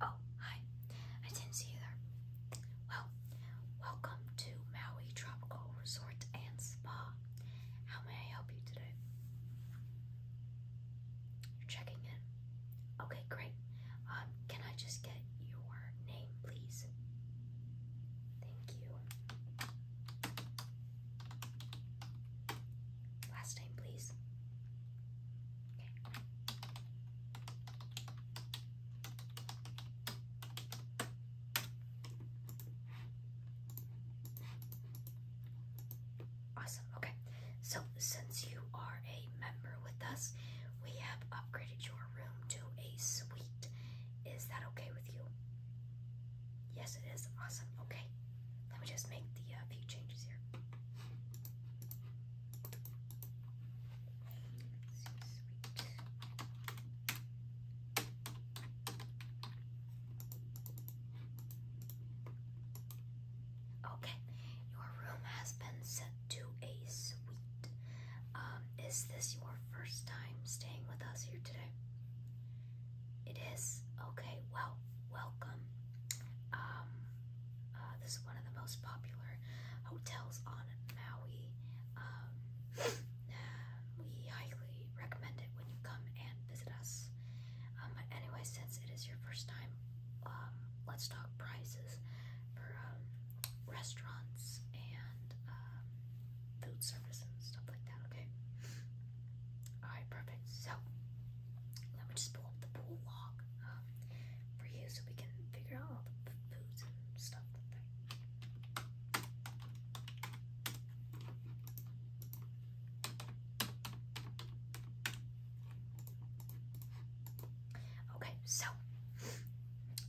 Oh, hi. I didn't see you there. Well, welcome to Maui Tropical Resort and Spa. How may I help you today? You're checking in. Okay, great. Um, can I just get your name, please? Thank you. Last name, please. Okay. Awesome. Okay. So since you are a member with us, we have upgraded your room to a suite. Is that okay with you? Yes, it is. Awesome. Okay. Let me just make the uh, few changes here. okay, your room has been set to a suite. Um, is this your first time staying with us here today? It is. Okay, well, welcome. Um, uh, this is one of the most popular hotels on Maui. Um, we highly recommend it when you come and visit us. Um, but anyway, since it is your first time, um, let's talk prices for um, restaurants and um, food service and stuff like that. Okay. All right, perfect. So let me just pull up the pool log uh, for you so we can figure out all the foods and stuff Okay, so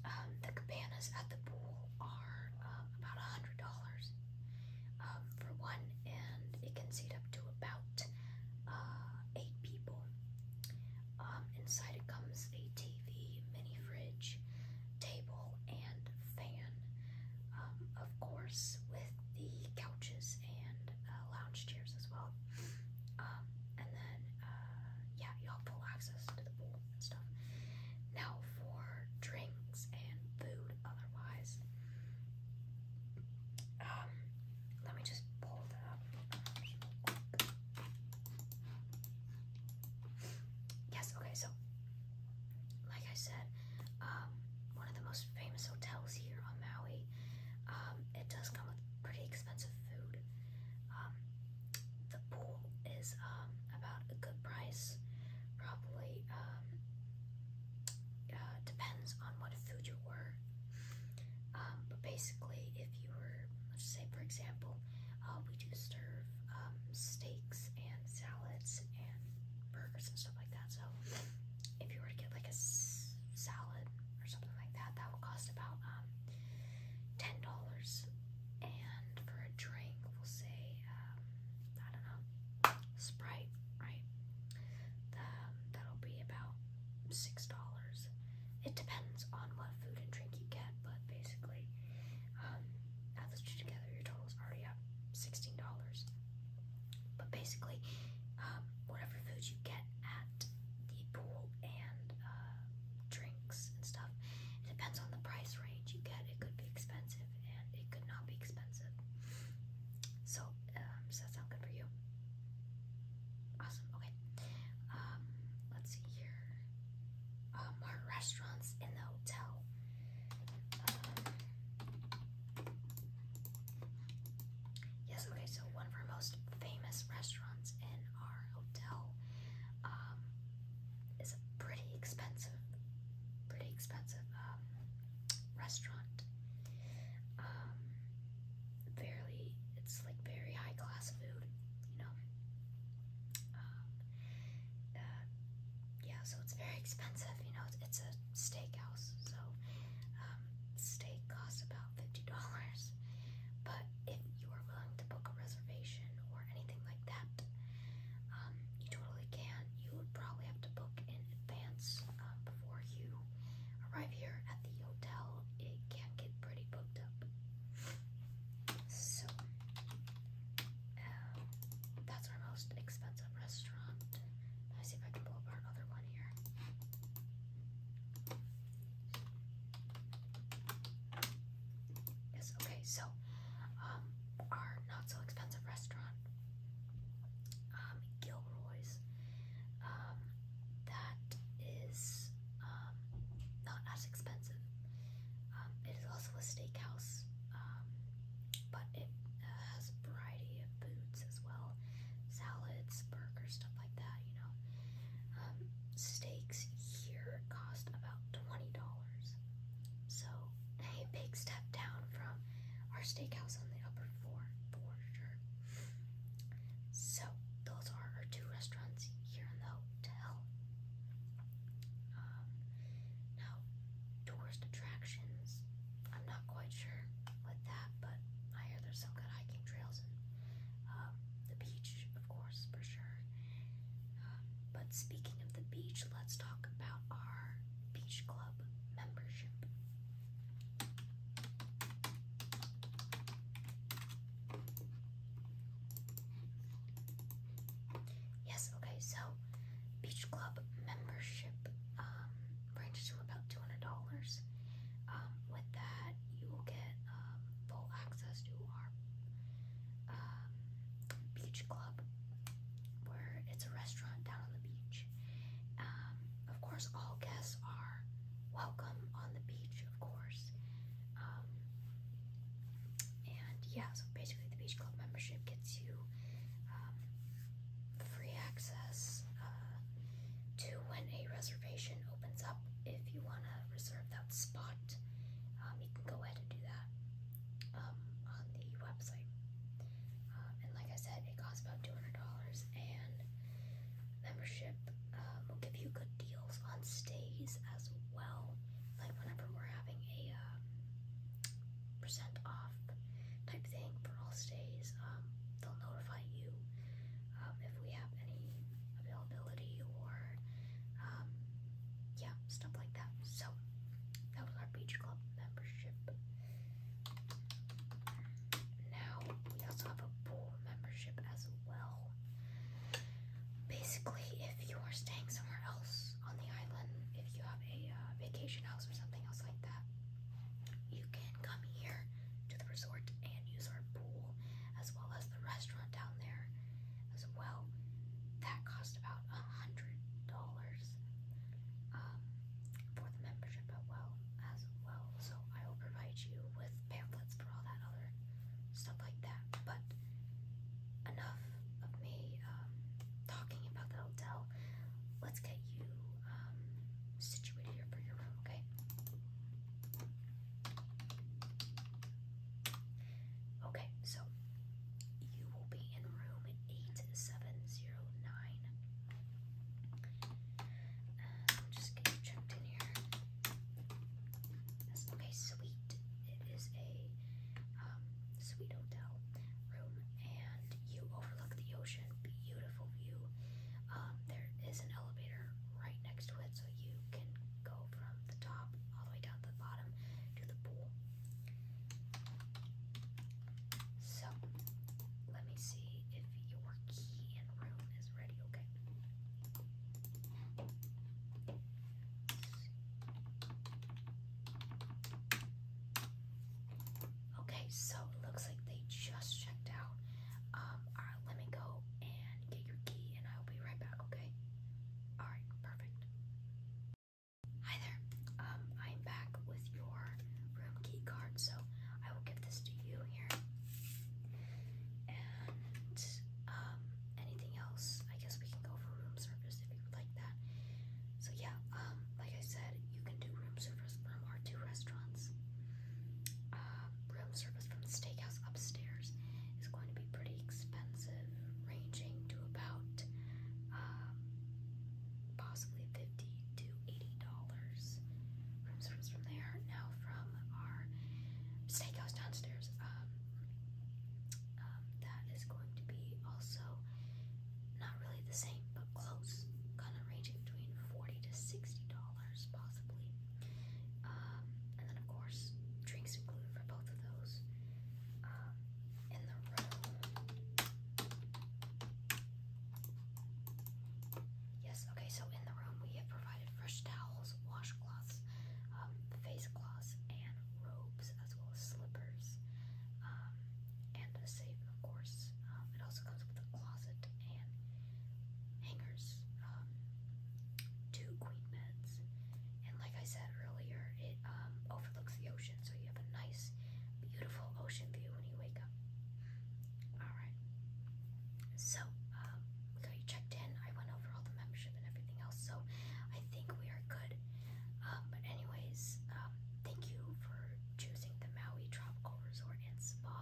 um, the cabanas at the pool are uh, about a hundred dollars um, for one, and it can seat up to about uh, eight people. Um, inside it comes a TV, mini fridge, table, and fan. Um, of course, with the couches and uh, lounge chairs as well. Um, and then, uh, yeah, you have full access to the pool and stuff. Now, for drinks and food, otherwise, um, let me just pull that up. Yes, okay, so like I said, um, one of the most famous hotels here on Maui. Um, it does come with pretty expensive food. Um, the pool is um, about a good price, probably. Um, uh, depends on what food you were. Um, but basically, if you were, let's say, for example, uh, we do serve um, steaks and salads and burgers and stuff like that. So if you were to get like a s salad or something like that, that will cost about um, ten dollars. And for a drink, we'll say um, I don't know, Sprite, right? The, um, that'll be about six dollars. It depends on what food and drink you get, but basically, um, add those two together, your total is already up sixteen dollars. But basically, um, whatever food you get at the pool and uh, drinks and stuff, it depends on the price range you get. It could be expensive and it could not be expensive. So um, does that sound good for you? Awesome. Okay. Um, let's see here. Um, more restaurants in the hotel. Um, yes. Okay. So one of our most famous restaurants in our hotel um, is a pretty expensive, pretty expensive um, restaurant. Um, fairly, it's like very high class food, you know. Um, uh, yeah, so it's very expensive, you know. It's, it's a steakhouse, so um, steak costs about fifty dollars. But if you are willing to book a reservation or anything like that, um, you totally can. You would probably have to book in advance uh, before you arrive here at the hotel. It can get pretty booked up. So, um, that's our most expensive restaurant. Let me see if I can pull up our one here. Yes, okay, so um, our not so expensive restaurant um, Gilroy's um, that is um, not as expensive. Um, it is also a steakhouse, um, but it uh, has a variety of foods as well, salads, burgers, stuff like that. You know, um, steaks here cost about twenty dollars, so a big step down from our steakhouse on the upper floor for sure. So those are our two restaurants here in the hotel. Um, now tourist attractions, I'm not quite sure with that, but I hear there's some good hiking trails um, the beach, of course, for sure. Um, but speaking of the beach, let's talk about our Beach Club membership. Yes, okay, so Beach Club membership um, ranges to about $200. Um, with that, you will get um, full access to our um, beach club where it's a restaurant down on the beach. Um, of course, all guests are welcome on the beach, of course. Um, and yeah, so basically, the Beach Club membership gets you um, free access uh, to when a reservation opens up. If you want to reserve that spot, you can go ahead and do that on the website. Um, and like I said, it costs about $200 and membership um, will give you good deals on stays as well. Like whenever we're having a um, percent off type thing for all stays, um, they'll notify you um, if we have any availability or um, yeah, stuff like that. So that was our beach club membership. Now we also have a pool membership as well. Basically, if you are staying somewhere else on the island, if you have a uh, vacation house or something else like that, you can come here to the resort and use our pool as well as the restaurant down there as well. That cost about a hundred dollars um, for the membership as well So I will provide you with pamphlets for all that other stuff like that. But enough of me um, talking about the hotel. Let's get you um, situated here for your room, okay? Okay, so you will be in room 8709. Um, just get checked in here. okay, sweet. It is a um, sweet hotel room, and you overlook the ocean. Beautiful view. Um, there is an elevator right next to it, so you can go from the top all the way down to the bottom to the pool. So, let me see if your key and room is ready, okay? Okay, so it looks like they just checked out. Um, alright, let me go and get your key and I'll be right back, okay? Alright, perfect. Hi there. Um, I'm back with your room key card, so I will give this to you here. And um, anything else, I guess we can go for room service if you would like that. So yeah, um, like I said, you can do room service from our two restaurants. Um, room service from the steakhouse upstairs is going to be pretty expensive, ranging to about um, possibly 50 to 80 dollars from there. Now from our steakhouse downstairs, um, um, that is going to be also not really the same, but close, kind of ranging between 40 to 60 dollars possibly. Um, and then of course drinks included for both of those. Um, in the room. Yes, okay, so in the room we have provided fresh towels, washcloths, um, face cloths, and robes, as well as slippers, um, and a safe, of course. Um, it also comes with a closet and hangers, um, two queen beds, and like I said earlier, it um, overlooks the ocean, so you have a nice, beautiful ocean view when you wake up. All right. So um, we got you checked in. I went over all the membership and everything else, so I think we are good. Um, but anyways, thank you for choosing the Maui Tropical Resort and Spa,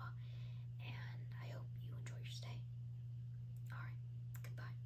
and I hope you enjoy your stay. All right. Goodbye.